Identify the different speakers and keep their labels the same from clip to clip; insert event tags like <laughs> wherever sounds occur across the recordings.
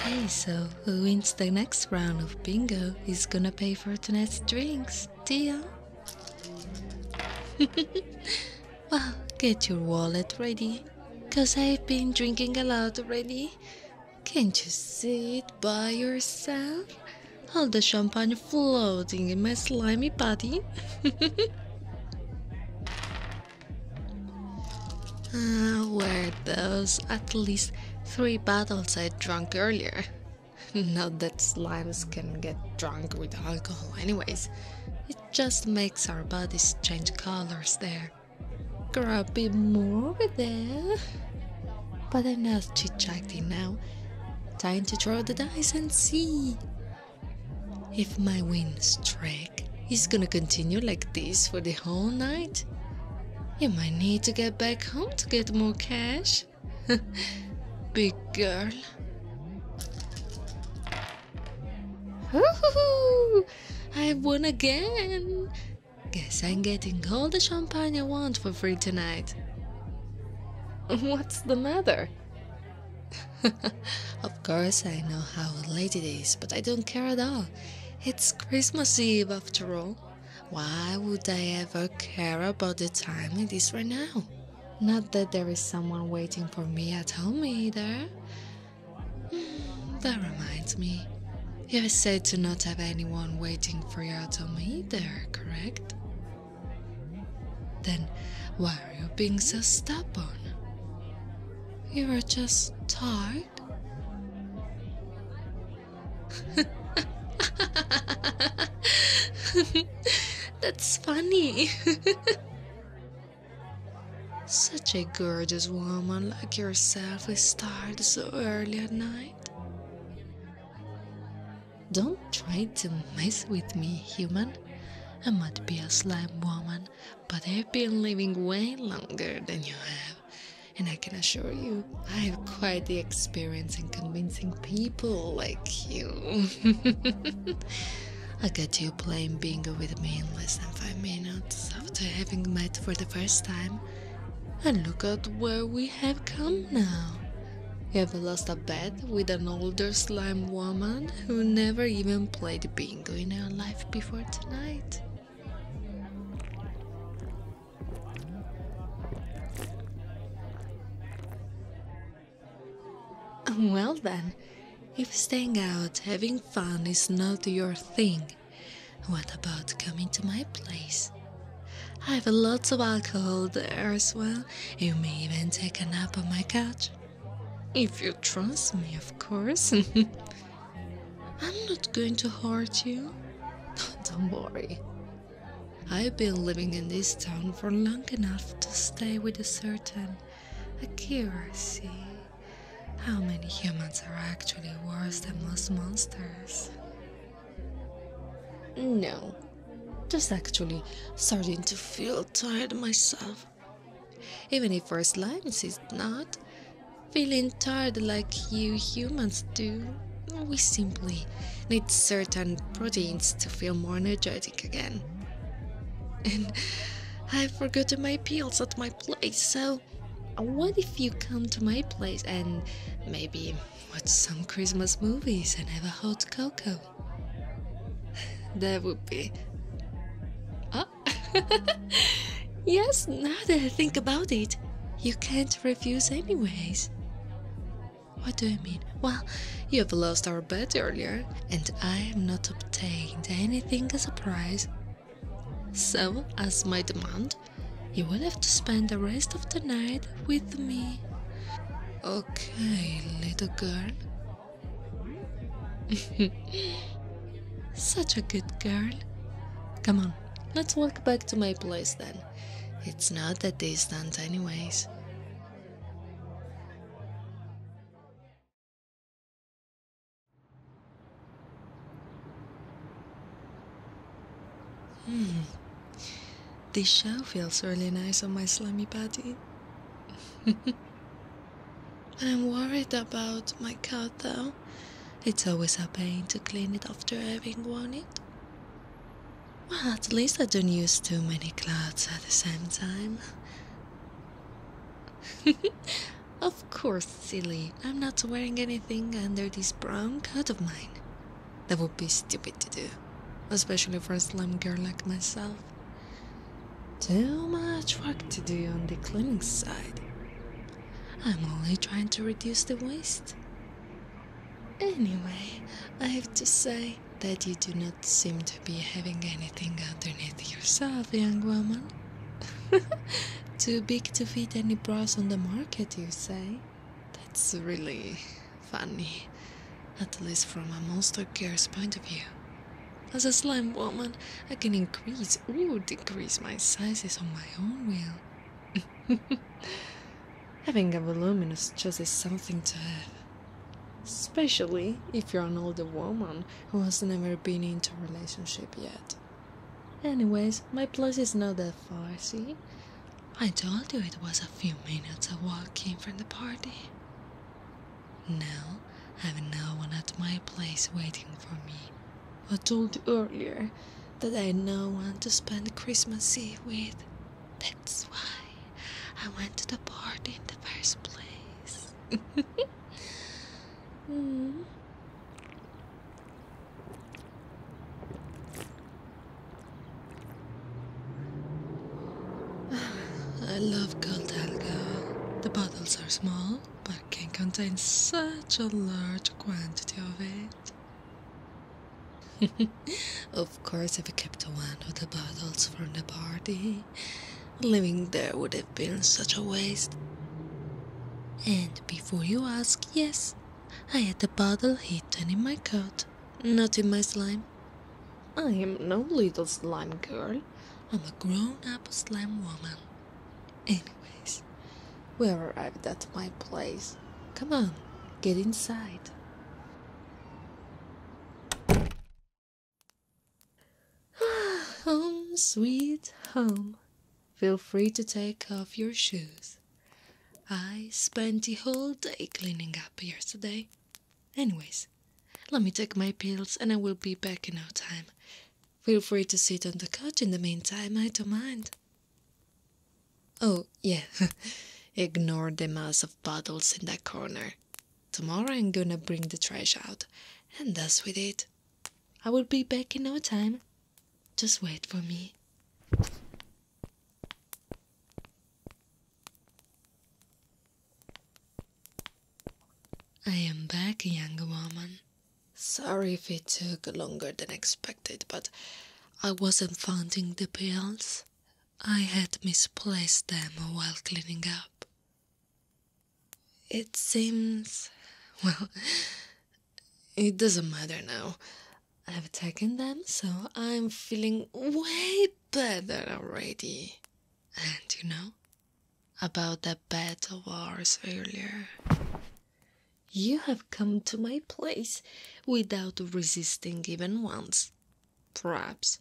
Speaker 1: Okay, so who wins the next round of bingo is gonna pay for tonight's drinks, deal? <laughs> well, get your wallet ready, cause I've been drinking a lot already. Can't you see it by yourself? All the champagne floating in my slimy body. <laughs> Ah, Where those at least three bottles I drank earlier? <laughs> Not that slimes can get drunk with alcohol, anyways. It just makes our bodies change colors there. Grow a bit more over there. But enough chit chatting now. Time to throw the dice and see if my win streak is gonna continue like this for the whole night, you might need to get back home to get more cash. <laughs> Big girl. Woohoo! I won again! Guess I'm getting all the champagne I want for free tonight. What's the matter? <laughs> of course, I know how late it is, but I don't care at all. It's Christmas Eve after all. Why would I ever care about the time it is right now? Not that there is someone waiting for me at home either. <sighs> that reminds me. You said to not have anyone waiting for you at home either, correct? Then why are you being so stubborn? You are just tired. <laughs> That's funny. <laughs> Such a gorgeous woman like yourself is tired so early at night. Don't try to mess with me, human. I might be a slime woman, but I've been living way longer than you have. And I can assure you, I have quite the experience in convincing people like you. <laughs> I got you playing bingo with me in less than five minutes after having met for the first time. And look at where we have come now. You have lost a bet with an older slime woman who never even played bingo in her life before tonight. Well then, if staying out having fun is not your thing, what about coming to my place? I have lots of alcohol there as well. You may even take a nap on my couch. If you trust me, of course. <laughs> I'm not going to hurt you. <laughs> Don't worry. I've been living in this town for long enough to stay with a certain accuracy. How many humans are actually worse than most monsters? No, just actually starting to feel tired myself. Even if our slimes is not feeling tired like you humans do, we simply need certain proteins to feel more energetic again. And I've forgotten my pills at my place, so what if you come to my place and maybe watch some Christmas movies and have a hot cocoa. <laughs> that would be. Ah, <laughs> yes, now that I think about it, you can't refuse, anyways. What do you mean? Well, you have lost our bet earlier, and I have not obtained anything as a prize so, as my demand, you will have to spend the rest of the night with me. Okay, little girl. <laughs> Such a good girl. Come on, let's walk back to my place then. It's not that distant, anyways. Hmm. This show feels really nice on my slimy body. <laughs> I'm worried about my cat though. It's always a pain to clean it after having worn it. Well, at least I don't use too many clothes at the same time. <laughs> Of course, silly. I'm not wearing anything under this brown coat of mine. That would be stupid to do, especially for a slim girl like myself. Too much work to do on the cleaning side. I'm only trying to reduce the waste. Anyway, I have to say that you do not seem to be having anything underneath yourself, young woman. <laughs> Too big to fit any bras on the market, you say? That's really funny, at least from a monster girl's point of view. As a slime woman, I can increase or decrease my sizes on my own will. <laughs> Having a voluminous chest is something to have. Especially if you're an older woman who has never been into a relationship yet. Anyways, my place is not that far, see? I told you it was a few minutes of walking from the party. Now, I have no one at my place waiting for me. I told you earlier that I had no one to spend Christmas Eve with. That's why I went to the party in the first place. <laughs> mm. <sighs> I love Goldalga. The bottles are small, but can contain such a large quantity of it. <laughs> of course, I've kept one of the bottles from the party. Living there would have been such a waste. And before you ask, yes, I had the bottle hidden in my coat, not in my slime. I am no little slime girl. I'm a grown up slime woman. Anyways, we arrived at my place. Come on, get inside. <sighs> home, sweet home. Feel free to take off your shoes. I spent the whole day cleaning up yesterday. Anyways, let me take my pills and I will be back in no time. Feel free to sit on the couch in the meantime, I don't mind. Oh, yeah, <laughs> ignore the mass of bottles in that corner. Tomorrow I'm gonna bring the trash out, and that's with it. I will be back in no time. Just wait for me. I am back, young woman. Sorry if it took longer than expected, but I wasn't finding the pills. I had misplaced them while cleaning up. It seems. well, it doesn't matter now. I've taken them, so I'm feeling way better already. And you know, about that bed of ours earlier. You have come to my place without resisting even once, Perhaps.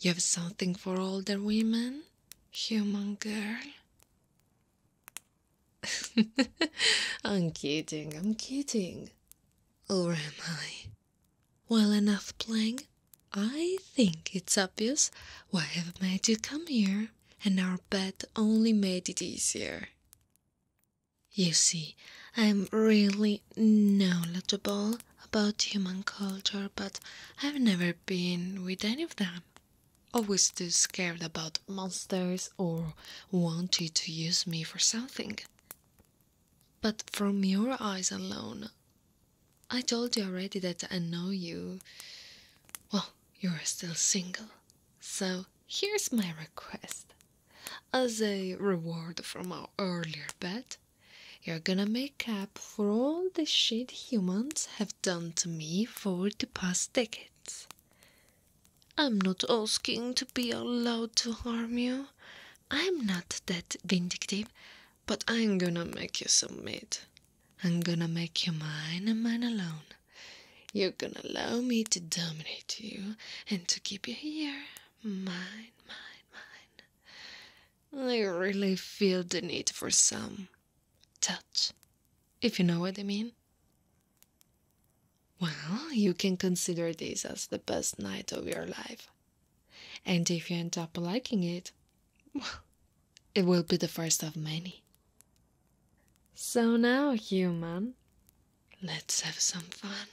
Speaker 1: You have something for older women? Human girl. <laughs> I'm kidding, I'm kidding. Or am I? Well enough playing? I think it's obvious why I've made you come here, and our bet only made it easier. You see, I'm really knowledgeable about human culture, but I've never been with any of them. Always too scared about monsters or wanted to use me for something. But from your eyes alone, I told you already that I know you. Well, you're still single. So here's my request. As a reward from our earlier bet, you're gonna make up for all the shit humans have done to me for the past decades. I'm not asking to be allowed to harm you. I'm not that vindictive, but I'm gonna make you submit. I'm gonna make you mine and mine alone. You're gonna allow me to dominate you and to keep you here. Mine, mine, mine. I really feel the need for some touch, if you know what I mean. Well, you can consider this as the best night of your life. And if you end up liking it, well, it will be the first of many. So now, human, let's have some fun.